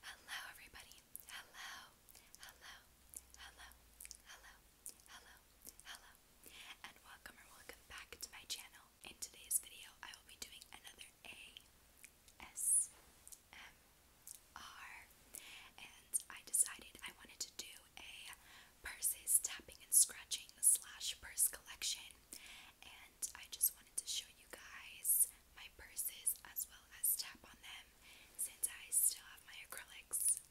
Hello, everybody. Hello, hello, hello, hello, hello, hello, and welcome or welcome back to my channel. In today's video, I will be doing another ASMR, and I decided I wanted to do a purses tapping and scratching slash purse collection, and I just wanted to show you guys my purses as well as tap on them since I still have my acrylics.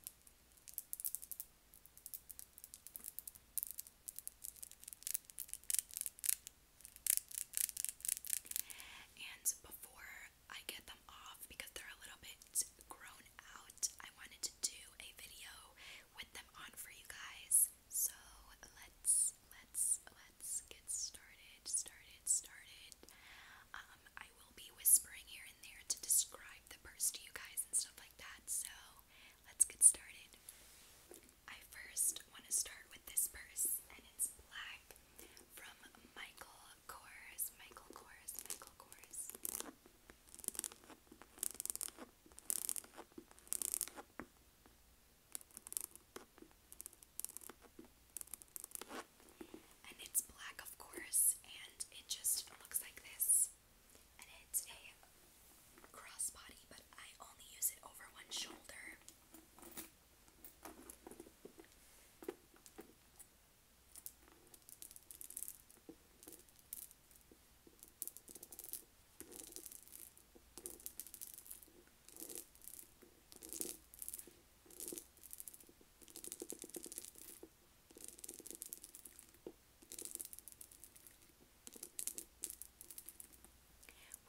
And before I get them off, because they're a little bit grown out, I wanted to do a video with them on for you guys. So let's let's let's get started, started, started. Um, I will be whispering here and there to describe the purse to you guys and stuff like that. So let's get started. I first want to start with this purse, and it's black from Michael Kors. Michael Kors. Michael Kors. And it's black, of course, and it just looks like this. And it's a crossbody, but I only use it over one shoulder.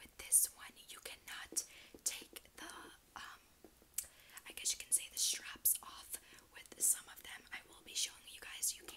With this one, you cannot take the, um, I guess you can say the straps off. With some of them, I will be showing you guys you can.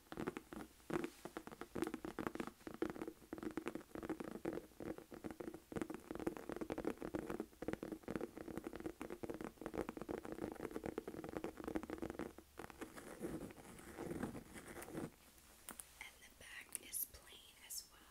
And the back is plain as well.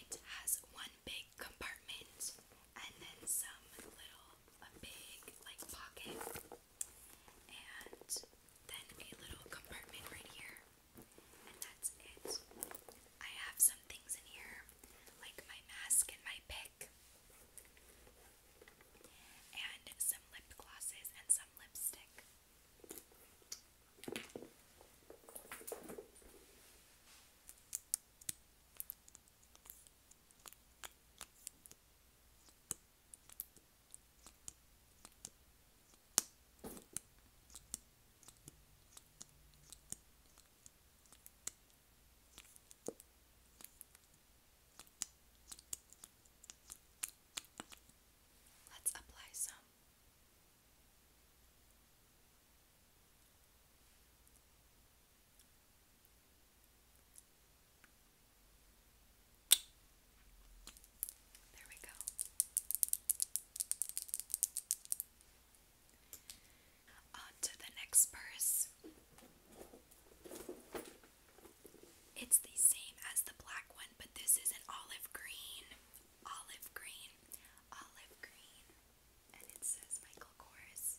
It has one big compartment and then some little, a big like pocket, and then a little compartment right here, and that's it. I have some things in here, like my mask and my pick and some lip glosses and some lipstick. Let's apply some. There we go. On to the next purse. It's the same as the black one, but this is an olive green. Olive green. Olive green. And it says Michael Kors.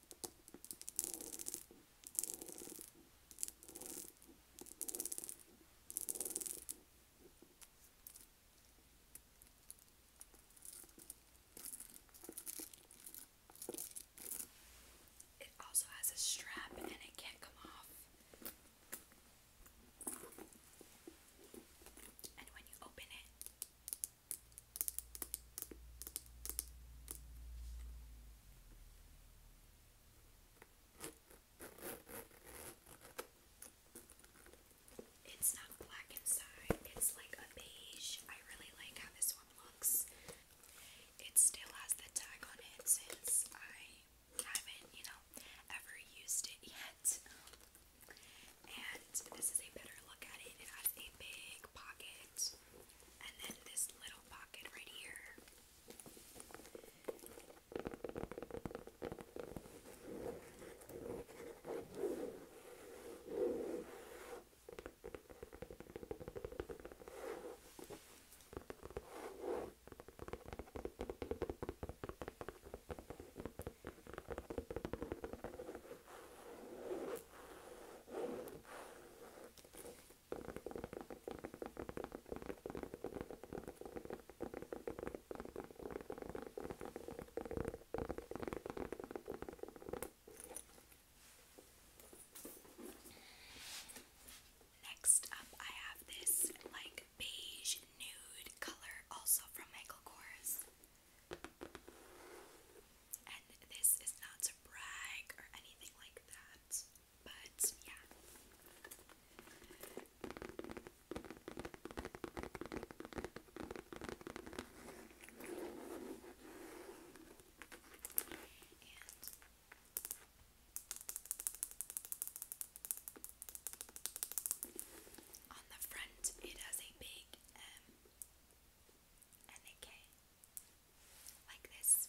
It also has a strap and it can't come off. And when you open it, it's not black inside, it's like a beige. I really like how this one looks. It still has the tag on it since I haven't, you know, ever used it yet. And this is a better look at it. It has a big pocket and then this little pocket right here. Next up, I have this like beige nude color, also from Michael Kors. And this is not to brag or anything like that, but yeah. on the front, it has a big M um, and like this.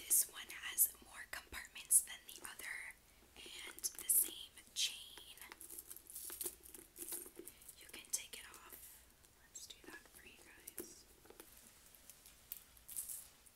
This one has more compartments than the other and the same chain. You can take it off. Let's do that for you guys.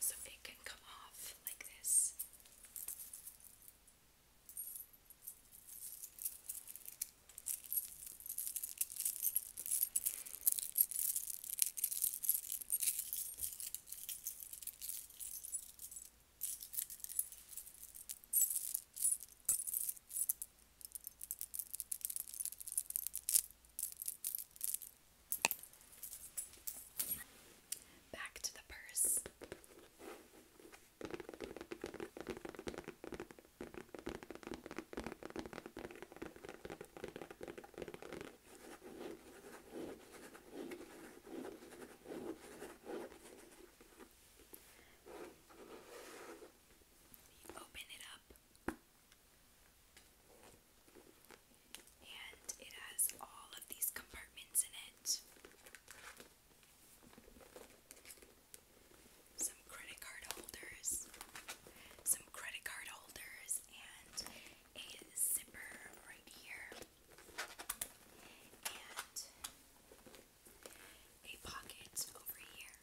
So it can come off like this. Back to the purse. open it up. And it has all of these compartments in it. Some credit card holders, some credit card holders, and a zipper right here, and a pocket over here.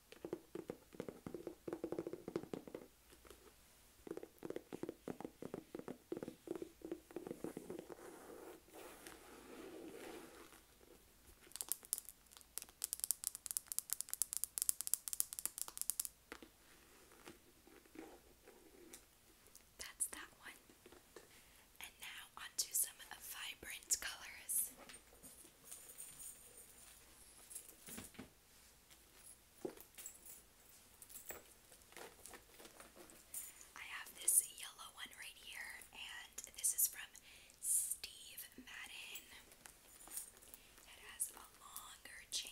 That's that one. And now onto some vibrant colors. I have this yellow one right here, and this is from Steve Madden. It has a longer chain.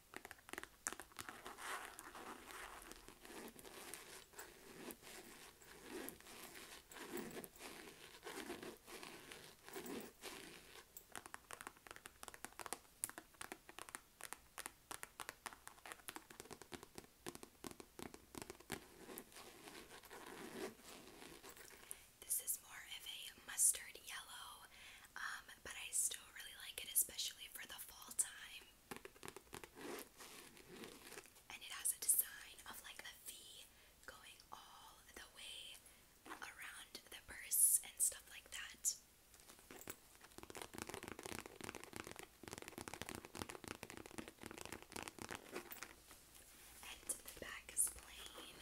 This is more of a mustard yellow, um, but I still really like it, especially for the fall time. And it has a design of like a V going all the way around the purse and stuff like that. And the back is plain.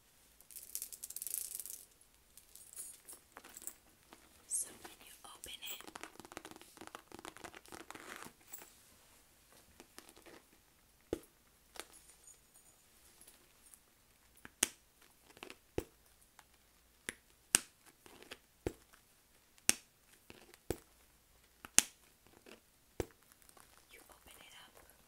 So when you open it, you open it up.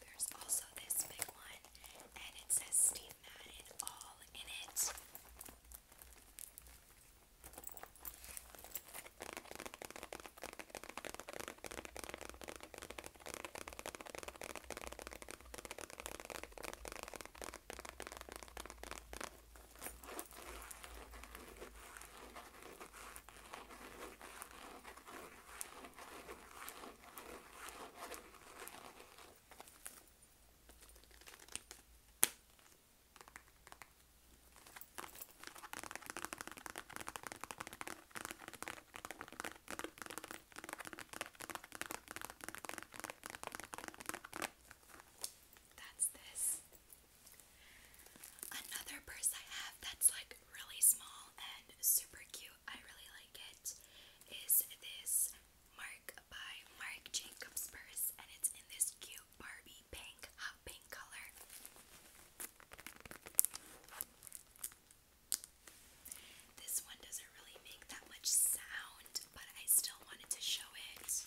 There's also this big one, and it says Steve and that is all in it. That's this. Another purse I have that's like really small and super cute I really like it is this Mark by Mark Jacobs purse and it's in this cute Barbie pink, hot pink color. This one doesn't really make that much sound, but I still wanted to show it.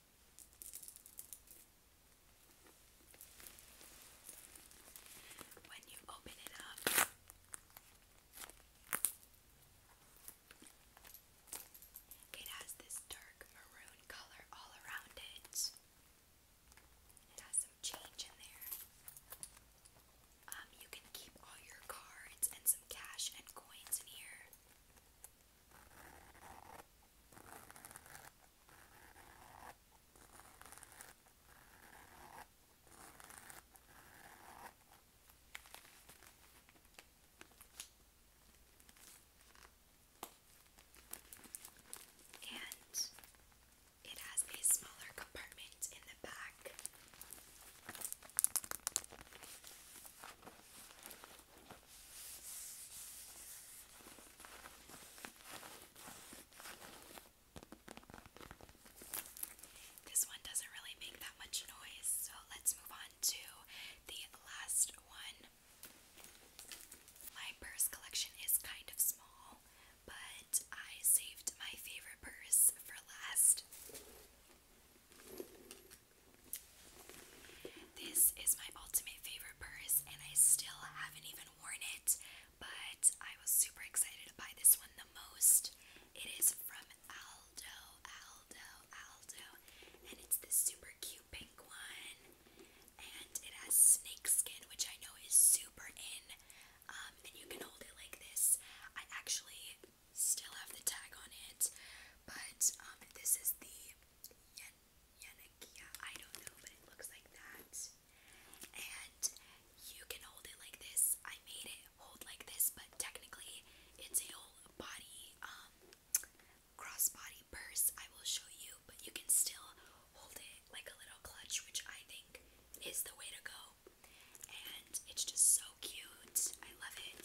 When you open it up, it has this dark maroon color all around it. It has some change in there. Um, you can keep all your cards and some cash and coins in here. And it has a smaller compartment in the back. This one doesn't really make that much noise, so let's move on to the last one. My purse collection is kind of small, but I saved my favorite purse for last. This is my ultimate favorite purse, and I still haven't even worn it, but I was super excited to buy this one the most. It is from Aldo, Aldo, Aldo, and it's this super cute pink one, and it has snakeskin, which I know is super in, um, and you can hold it like this. I actually still have the tag on it, but um, this is the Yanakia. I don't know, but it looks like that. And you can hold it like this. I made it hold like this, but technically it's a body, um, crossbody purse. I will show you, but you can still hold it like a little clutch, which I think is the way to go. And it's just so cute. I love it.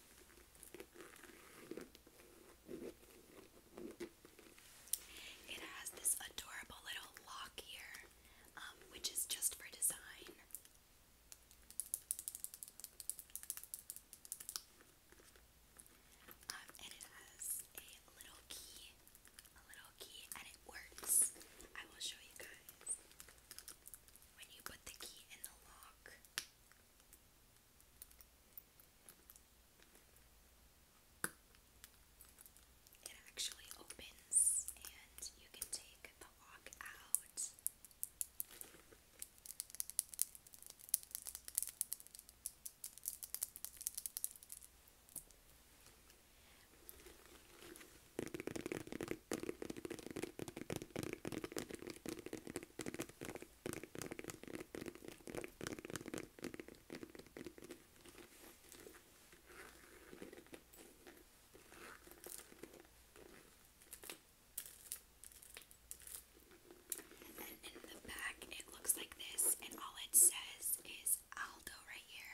It has this adorable little lock here, um, which is just for design. Um, and it has a little key, a little key, and it works. I will show you guys. When you put the key in the lock, it actually opens and you can take the lock out then in the back, it looks like this, and all it says is Aldo right here.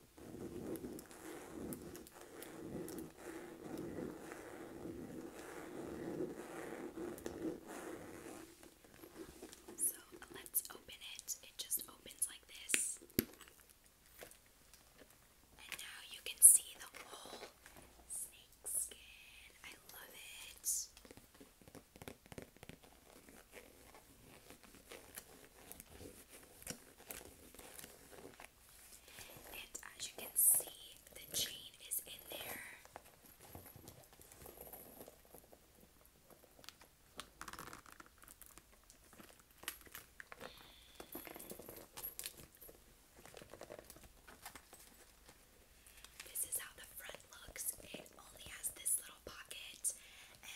So let's open it. It just opens like this. And now you can see the whole snake skin. I love it. And as you can see, the chain is in there. This is how the front looks. It only has this little little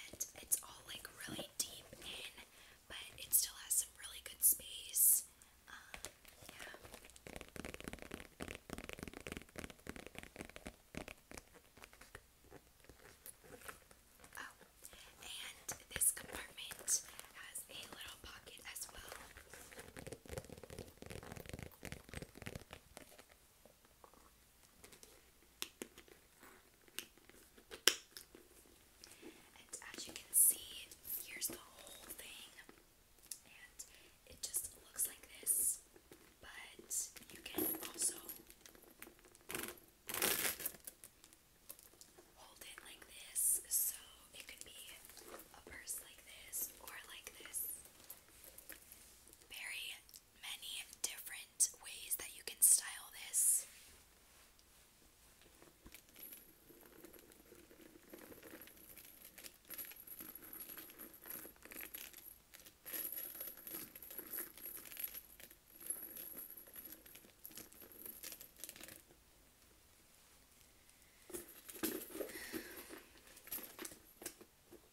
and it's all like really deep in, but it still has some really good space. Um, yeah. Oh, and this compartment has a little pocket as well. And as you can see, here's the whole thing. And it just looks like this, but you can also hold it like this. So it could be a purse like this or like this. Very many different ways that you can style this.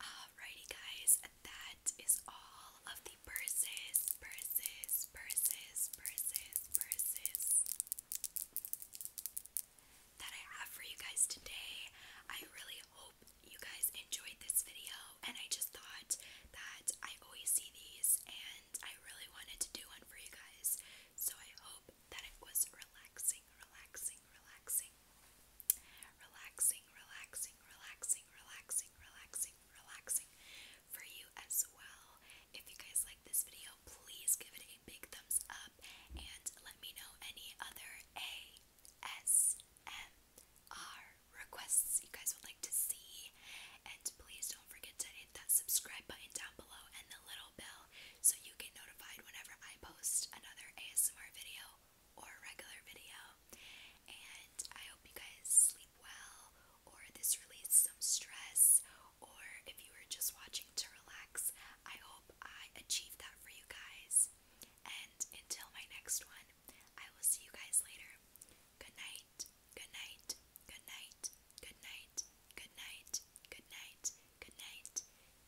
Alrighty, guys, that is all of the purses, purses, purses, purses, purses that I have for you guys today. I really hope you guys enjoyed this video, and I just thought that I always see these, and I really wanted to do one for you guys. So I hope that it was relaxing, relaxing, relaxing, relaxing, relaxing, relaxing, relaxing, relaxing, relaxing for you as well. If you guys like this video, please give it a big thumbs up and let me know any other ASMR are requests you guys would like to see. And please don't forget to hit that subscribe button down below and the little bell so you get notified whenever I post another ASMR video or a regular video. And I hope you guys sleep well or this released some stress or if you were just watching to relax, I hope I achieved that for you guys. And until my next one, I will see you guys later. Good night, good night, good night, good night, good night, good night, good night.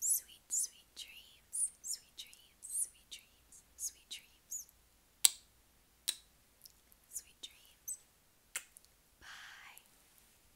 Sweet, sweet dreams, sweet dreams, sweet dreams, sweet dreams. Sweet dreams. Bye.